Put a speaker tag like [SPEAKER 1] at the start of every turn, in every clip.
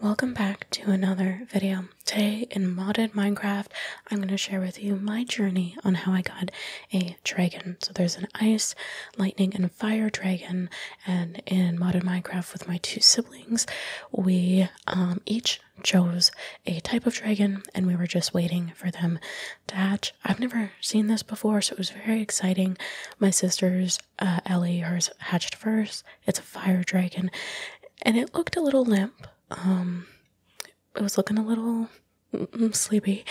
[SPEAKER 1] Welcome back to another video. Today in modded Minecraft, I'm going to share with you my journey on how I got a dragon. So there's an ice, lightning, and fire dragon, and in modded Minecraft with my two siblings, we um, each chose a type of dragon and we were just waiting for them to hatch. I've never seen this before, so it was very exciting. My sisters uh, Ellie, hers hatched first. It's a fire dragon, and it looked a little limp. Um, it was looking a little mm, mm, sleepy.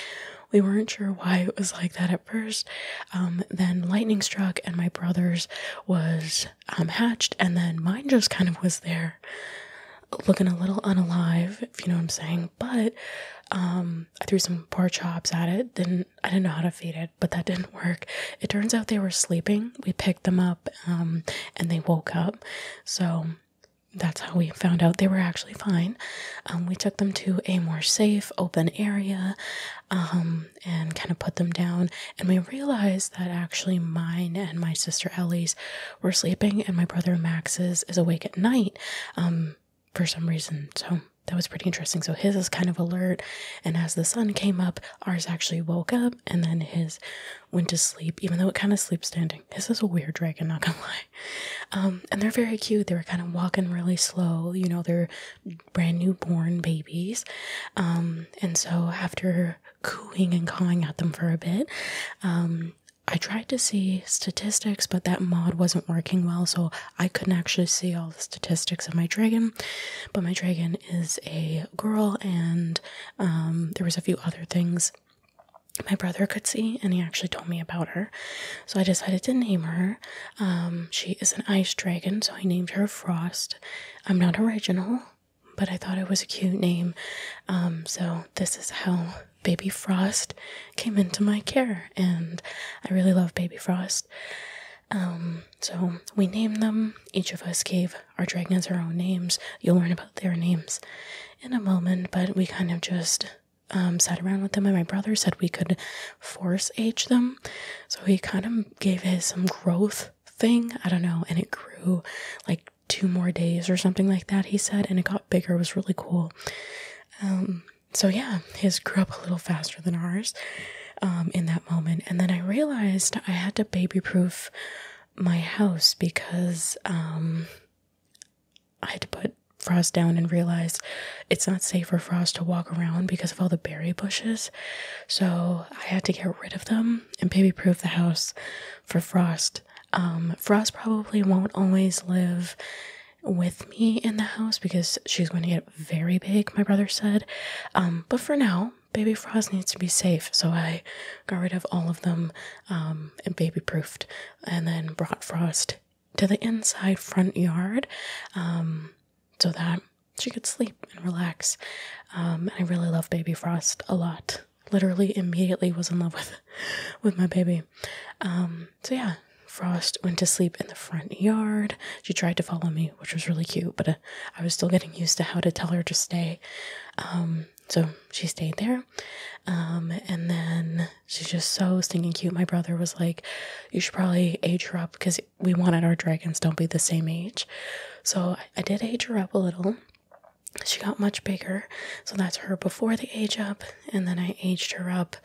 [SPEAKER 1] We weren't sure why it was like that at first. Um, then lightning struck, and my brother's was um, hatched, and then mine just kind of was there, looking a little unalive, if you know what I'm saying. But um, I threw some pork chops at it, then. I didn't know how to feed it, but that didn't work. It turns out they were sleeping. We picked them up um, and they woke up. So that's how we found out they were actually fine. Um, we took them to a more safe, open area um, and kind of put them down. And we realized that actually mine and my sister Ellie's were sleeping, and my brother Max's is awake at night for some reason. So that was pretty interesting. So his is kind of alert, and as the sun came up, ours actually woke up, and then his went to sleep, even though it kind of sleeps standing. This is a weird dragon, not gonna lie. Um, and they're very cute. They were kind of walking really slow. You know, they're brand new born babies. Um, and so after cooing and cawing at them for a bit, um, I tried to see statistics, but that mod wasn't working well, so I couldn't actually see all the statistics of my dragon, but my dragon is a girl, and um, there was a few other things my brother could see, and he actually told me about her. So I decided to name her. Um, she is an ice dragon, so I named her Frost. I'm not original, but I thought it was a cute name. Um, so this is how Baby Frost came into my care, and I really love Baby Frost. Um, so we named them. Each of us gave our dragons our own names. You'll learn about their names in a moment, but we kind of just um, sat around with them, and my brother said we could force age them. So he kind of gave his some growth thing. I don't know, and it grew like two more days or something like that. He said, and it got bigger. It was really cool. Um, so yeah, his grew up a little faster than ours um, in that moment. And then I realized I had to baby proof my house because um, I had to put Frost down and realize it's not safe for Frost to walk around because of all the berry bushes. So I had to get rid of them and baby proof the house for Frost. Um, Frost probably won't always live with me in the house because she's going to get very big, my brother said. Um, but for now, Baby Frost needs to be safe, so I got rid of all of them um, and baby proofed, and then brought Frost to the inside front yard um, so that she could sleep and relax. and I really love Baby Frost a lot literally immediately was in love with with my baby. Um, so yeah, Frost went to sleep in the front yard. She tried to follow me, which was really cute, but uh, I was still getting used to how to tell her to stay. Um, so she stayed there. Um, and then she's just so stinking cute. My brother was like, You should probably age her up because we wanted our dragons don't be the same age. So I did age her up a little she got much bigger. So that's her before the age up, and then I aged her up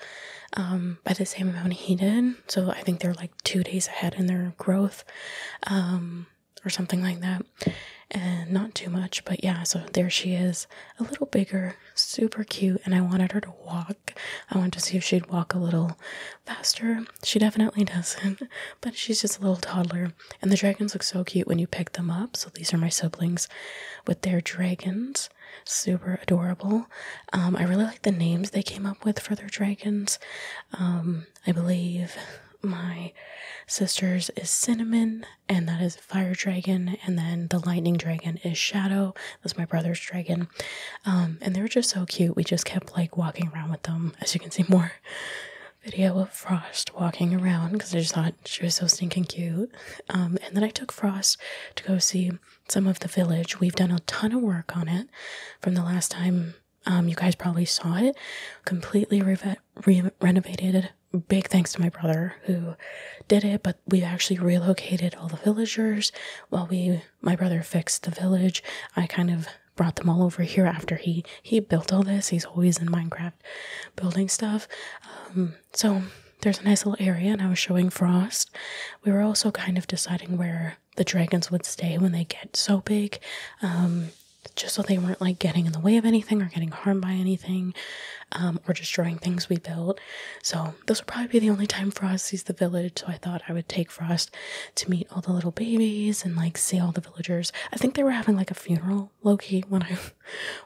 [SPEAKER 1] um, by the same amount he did. So I think they're like two days ahead in their growth, um, or something like that. And not too much, but yeah, so there she is, a little bigger, super cute. And I wanted her to walk. I wanted to see if she'd walk a little faster. She definitely doesn't, but she's just a little toddler. And the dragons look so cute when you pick them up. So these are my siblings with their dragons. Super adorable. Um, I really like the names they came up with for their dragons. Um, I believe my sister's is Cinnamon, and that is Fire Dragon. And then the Lightning Dragon is Shadow. That's my brother's dragon. Um, and they are just so cute. We just kept like walking around with them, as you can see more video of Frost walking around because I just thought she was so stinking cute. Um, and then I took Frost to go see some of the village. We've done a ton of work on it from the last time um, you guys probably saw it. Completely renovated. Big thanks to my brother who did it, but we actually relocated all the villagers while we my brother fixed the village. I kind of brought them all over here after he he built all this. He's always in Minecraft building stuff. Um, so there's a nice little area, and I was showing Frost. We were also kind of deciding where the dragons would stay when they get so big, um, just so they weren't like getting in the way of anything or getting harmed by anything, um, or destroying things we built. So this would probably be the only time Frost sees the village. So I thought I would take Frost to meet all the little babies and like see all the villagers. I think they were having like a funeral low key when I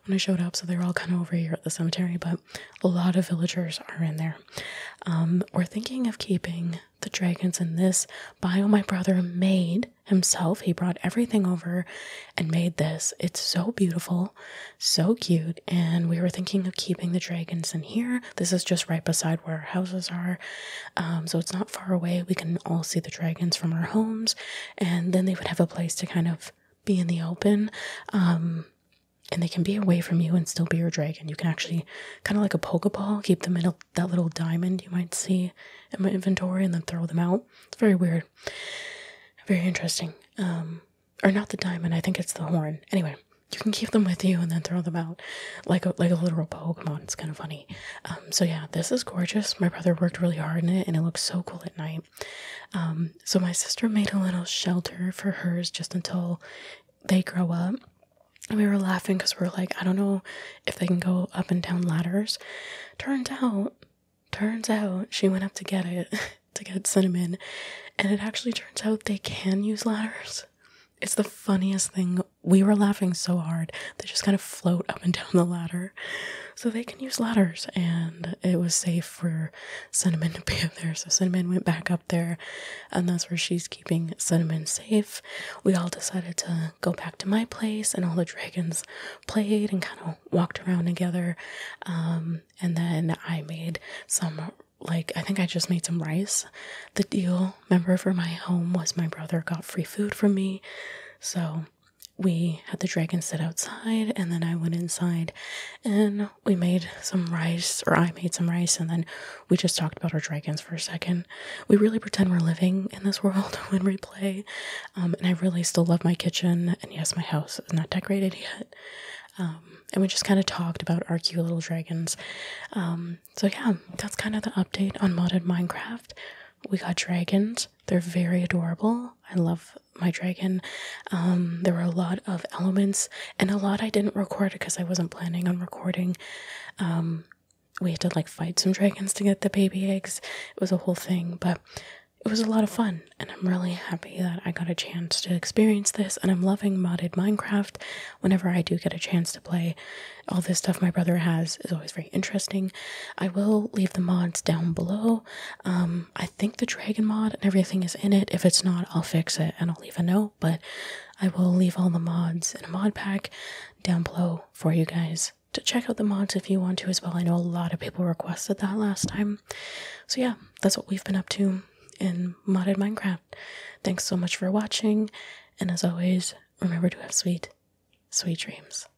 [SPEAKER 1] when I showed up, so they are all kind of over here at the cemetery, but a lot of villagers are in there. Um, we're thinking of keeping the dragons in this bio my brother made himself. He brought everything over and made this. It's so beautiful, so cute, and we were thinking of keeping the dragons in here. This is just right beside where our houses are. Um, so it's not far away. We can all see the dragons from our homes, and then they would have a place to kind of be in the open. Um, and they can be away from you and still be your dragon. You can actually kind of like a Pokeball, keep them in that little diamond you might see in my inventory and then throw them out. It's very weird, very interesting. Um, or not the diamond, I think it's the horn. Anyway, you can keep them with you and then throw them out like a, like a literal Pokemon. It's kind of funny. Um, so yeah, this is gorgeous. My brother worked really hard in it, and it looks so cool at night. Um, so my sister made a little shelter for hers just until they grow up. we were laughing because we're like, I don't know if they can go up and down ladders. Turns out, turns out she went up to get it, to get cinnamon, and it actually turns out they can use ladders. It's the funniest thing we were laughing so hard they just kind of float up and down the ladder so they can use ladders and it was safe for cinnamon to be up there so cinnamon went back up there and that's where she's keeping cinnamon safe we all decided to go back to my place and all the dragons played and kind of walked around together um, and then i made some like I think I just made some rice. The deal member for my home was my brother got free food from me. So we had the dragon sit outside and then I went inside and we made some rice or I made some rice and then we just talked about our dragons for a second. We really pretend we're living in this world when we play. Um, and I really still love my kitchen and yes, my house is not decorated yet. Um, um, and we just kind of talked about our cute little dragons. Um, so, yeah, that's kind of the update on modded Minecraft. We got dragons, they're very adorable. I love my dragon. Um, there were a lot of elements, and a lot I didn't record because I wasn't planning on recording. we had to like fight some dragons to get the baby eggs. It was a whole thing, but it was a lot of fun, and I'm really happy that I got a chance to experience this, and I'm loving modded Minecraft. Whenever I do get a chance to play, all this stuff my brother has is always very interesting. I will leave the mods down below. Um, I think the dragon mod and everything is in it. If it's not, I'll fix it and I'll leave a note, but I will leave all the mods and a mod pack down below for you guys to check out the mods if you want to as well. I know a lot of people requested that last time. So, yeah, that's what we've been up to in modded Minecraft. Thanks so much for watching, and as always, remember to have sweet, sweet dreams.